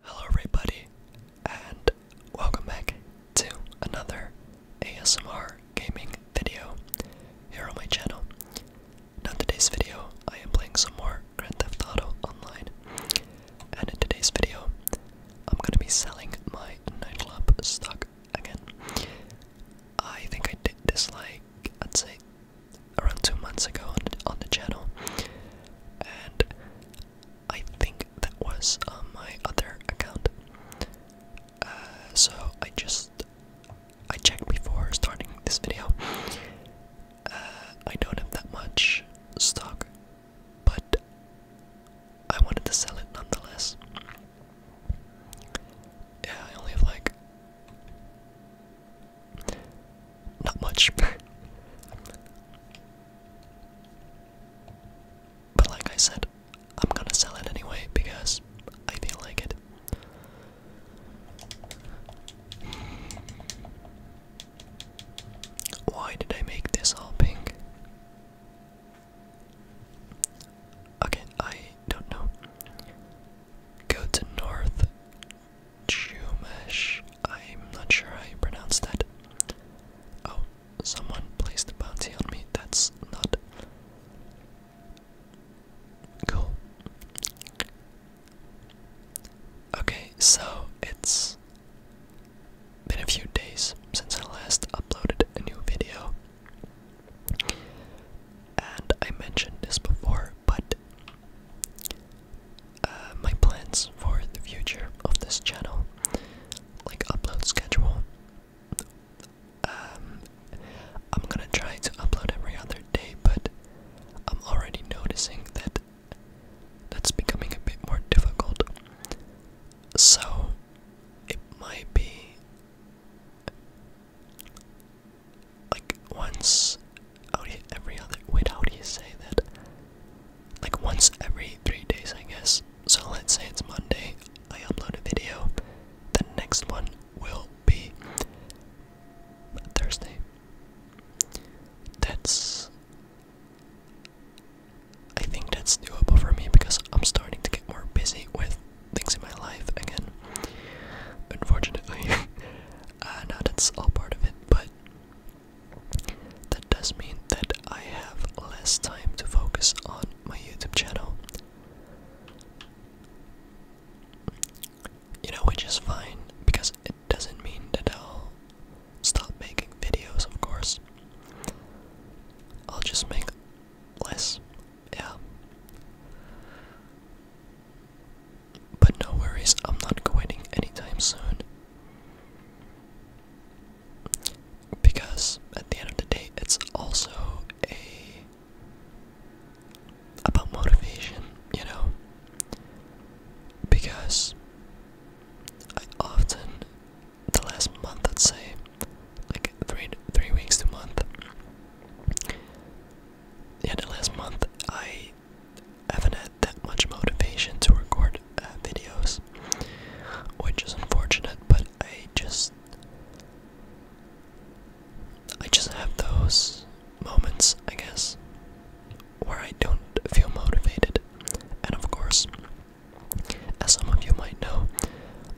Hello, everybody, and welcome back to another ASMR gaming video here on my channel. Now, in today's video, I am playing some more Grand Theft Auto Online, and in today's video, I'm going to be selling my nightclub stock again. I think I did this like, I'd say, around two months ago on the channel, and I think that was on uh, my other account. Uh, so I just I checked before starting this video. Uh, I don't have that much stock, but I wanted to sell it nonetheless. Yeah, I only have like not much. but like I said, I'm gonna sell it anyway because I feel like it. Why did I make this all pink? Okay, I don't know. Go to north, Chumash. I'm not sure how you pronounce that. Oh, someone placed a bounty on me. That's not cool. Okay, so it's been a few days since I last uploaded a new video. And I mentioned this before, but uh, my plans for the future of this channel, like upload schedule, um, I'm gonna try to upload every other day, but I'm already noticing that that's becoming a bit more difficult. So it might be like once every other wait how do you say that like once every three days I guess so let's say it's Monday I upload a video the next one will be Thursday that's I think that's doable for me because I'm starting to get more busy with things in my life again unfortunately Uh, now that's all part of it, but that does mean that I have less time to focus on my YouTube channel. You know, which is fine because it doesn't mean that I'll stop making videos, of course. I'll just make less, yeah. But no worries, I'm not quitting anytime soon. Because at the end of the day, it's also a about motivation, you know? Because I often the last month I'd say like three three weeks to month yeah the last month I haven't had that much motivation to record uh, videos, which is unfortunate. But I just, I just have those moments, I guess, where I don't feel motivated. And of course, as some of you might know,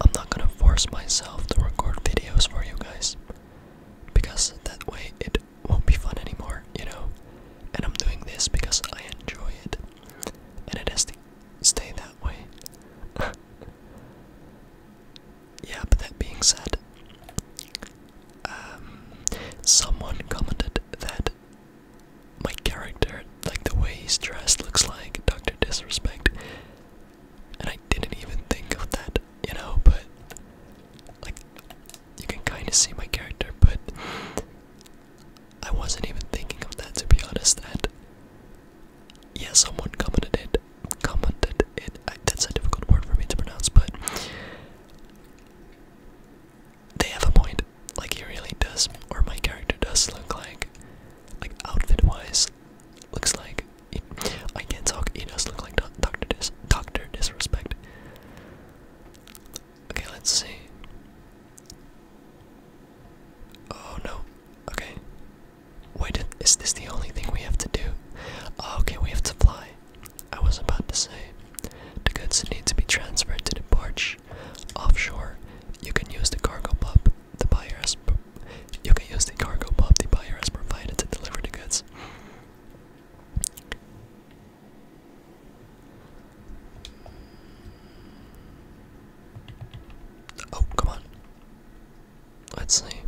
I'm not gonna force myself to record videos for you guys because that way it won't be fun anymore, you know? And I'm doing this because I enjoy it, and it has to stay that way. yeah, but that being said, um, someone commented that my character, like the way he's dressed, looks like Dr. Disrespect. And I didn't even think of that, you know, but like you can kind of see my character, but I wasn't even thinking of that to be honest. And yeah, someone commented it. Commented it. that's a difficult word for me to pronounce, but they have a point. Like he really does, or my character does look like, like outfit-wise, looks like I can't talk. He does look like Doctor Dis Doctor Disrespect. Okay, let's see. Oh no. Okay. Wait, is this the only thing we have to do? Oh, okay, we have to fly. I was about to say the goods need to be transferred to the barge offshore. You can use the cargo pub. The buyers you can use the cargo pop the buyer has provided to deliver the goods. Oh, come on. Let's see.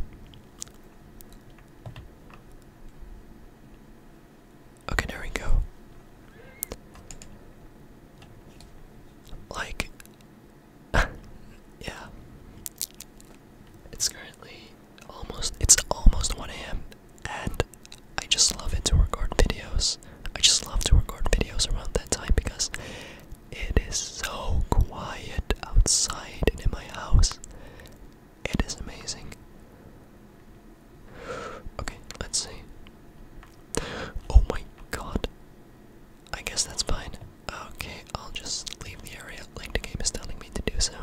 Okay, there we go. Like, yeah. It's currently almost it's almost 1 a.m. and I just love to record videos. I just love to record videos around that time because it is so quiet outside in my house. It is amazing. Okay, let's see. Oh my god. I guess that's fine. Okay, I'll just leave the area like the game is telling me to do so.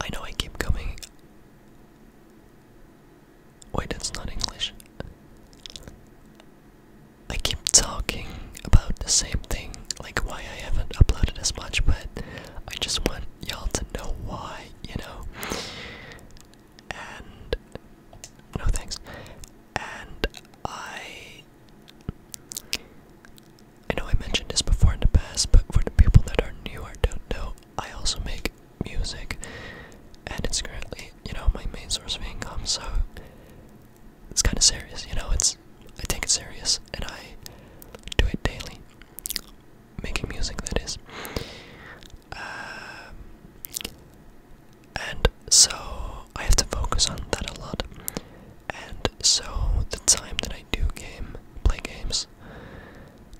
I know I keep coming. Wait, that's not English. I keep talking about the same thing, like why I haven't uploaded as much, but I just want y'all to know why, you know? And. No thanks. And I. I know I mentioned this before in the past, but for the people that are new or don't know, I also make music, and it's currently, you know, my main source of income, so it's kind of serious, you know. It's I take it serious, and I do it daily, making music that is. Uh, and so I have to focus on that a lot. And so the time that I do game play games,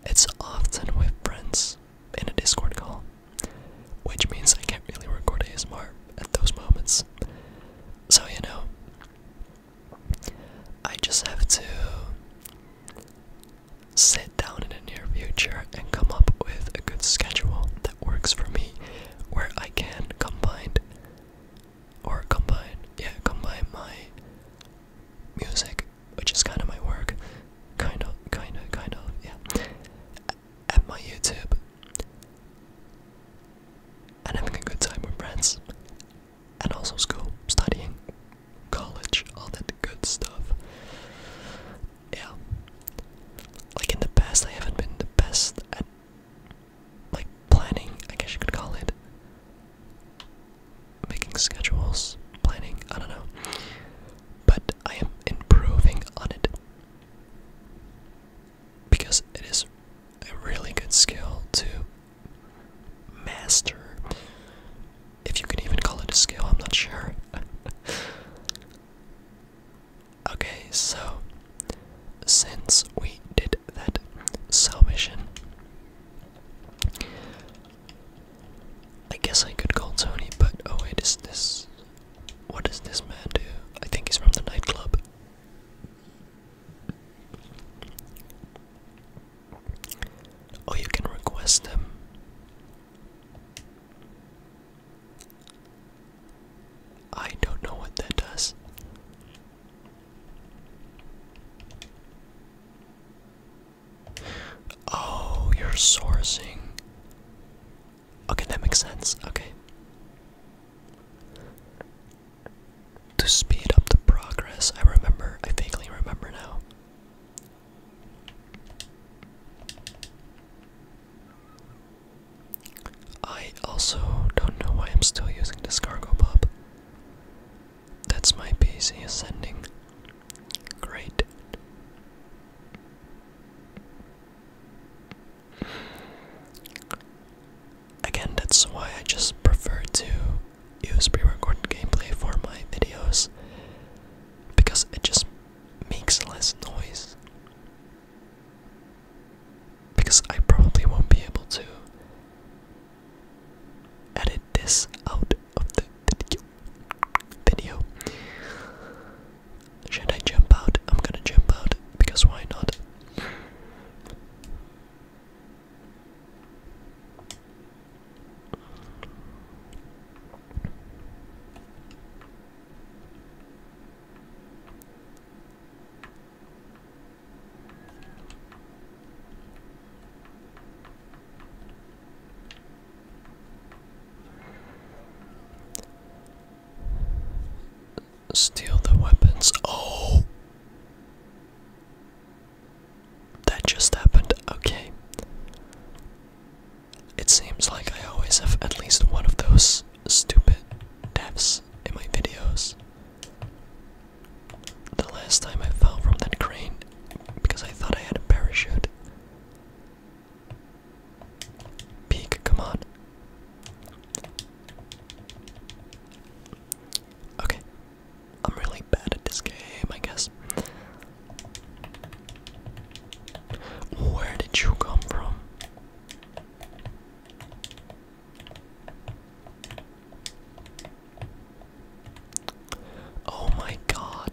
it's often with friends in a Discord call which means I can't really record ASMR at those moments. So, you know, I just have to sit down in the near future and come up with a good schedule that works for me where I can combine or combine, yeah, combine my music, which is kind of my work, kind of, kind of, kind of, yeah, and my YouTube and having a good time with friends and also school, studying, college, all that good stuff. Yeah. Like in the past I haven't been the best at like planning, I guess you could call it. Making schedules, planning, I don't know. But I am improving on it because it is a really good skill to master. If you can even call it a skill, I'm not sure. okay, so since we did that salvation, I guess I could call Tony, but oh, wait, is this. What does this man do? I think he's from the nightclub. Oh, you can request them. I don't know what that does. Oh, you're sourcing. Okay, that makes sense. Okay. To speed up the progress, I remember, I vaguely remember now. I also don't know why I'm still using this cargo pop. That's my PC ascending. Great. Again, that's why I just prefer to use pre-recorded gameplay for my videos because it just makes less noise. Because I probably won't be able to edit this out of the video. Should I jump out? I'm gonna jump out because why not? Steal the weapons. Oh! That just happened. Okay. It seems like I always have at least one of those stupid deaths in my videos. The last time I fell from that crane because I thought I had a parachute. Peek, come on. Okay. I'm really bad at this game, I guess. Where did you come from? Oh my god.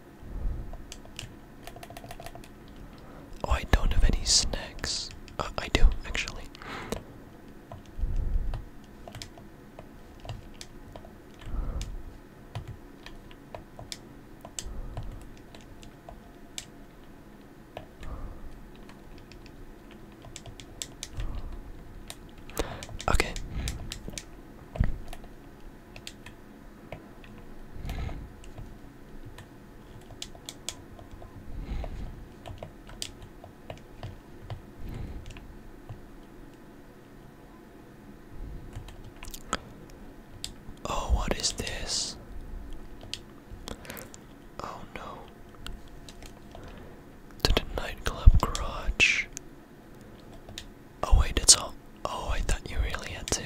Oh, I don't have any snacks. Uh, I do, actually. Okay. Oh, what is this? Oh no. To the nightclub garage. Oh wait, it's all. Oh, I thought you really had to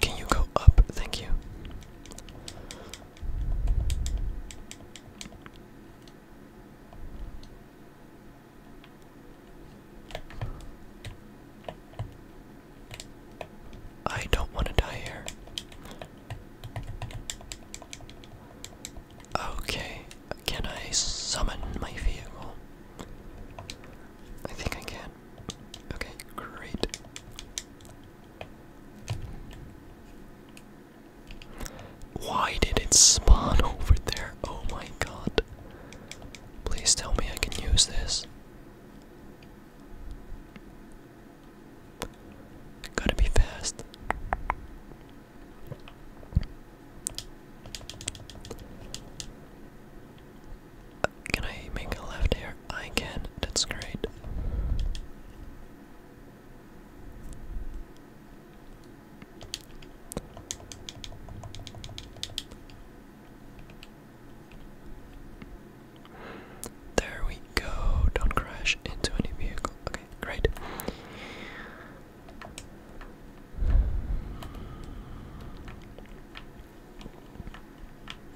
can you go up? Thank you. I don't want to die here. Okay, can I summon my vehicle? I think I can. Okay, great. Why did it spawn over there? Oh my god. Please tell me I can use this. Gotta be fast. can I make a left here? I can. That's great. There we go. Don't crash into any vehicle. Okay, great.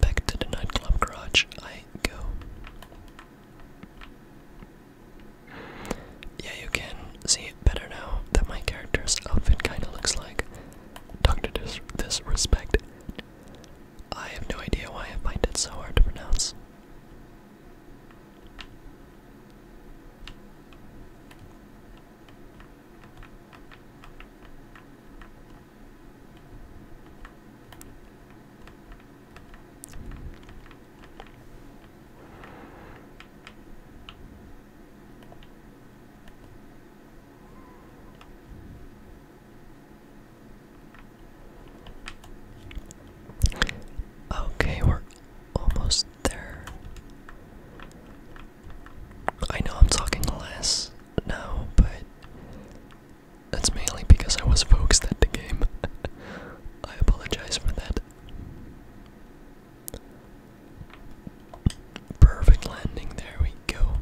Back to the nightclub garage I go. Yeah, you can see it better now that my character's outfit kinda looks like Dr. Dis Disrespect. I have no idea why I find it so hard to pronounce. Okay, we're almost there. I know I'm talking less now, but that's mainly because I was focused at the game. I apologize for that. Perfect landing, there we go.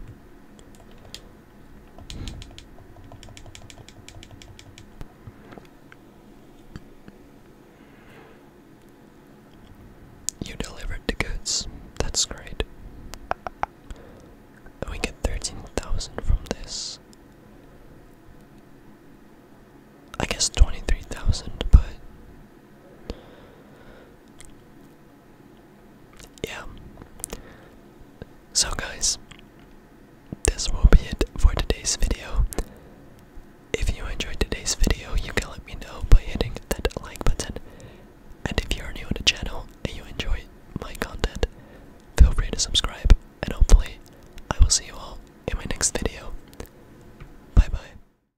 You delivered the goods. That's great. We get 13,000 from this. I guess 23,000, but yeah. So, guys, this will be it for today's video. If you enjoyed today's video, you can let me know by hitting that like button. And if you're new to the channel and you enjoy my content, feel free to subscribe. And hopefully, I will see you all in my next video. Bye bye.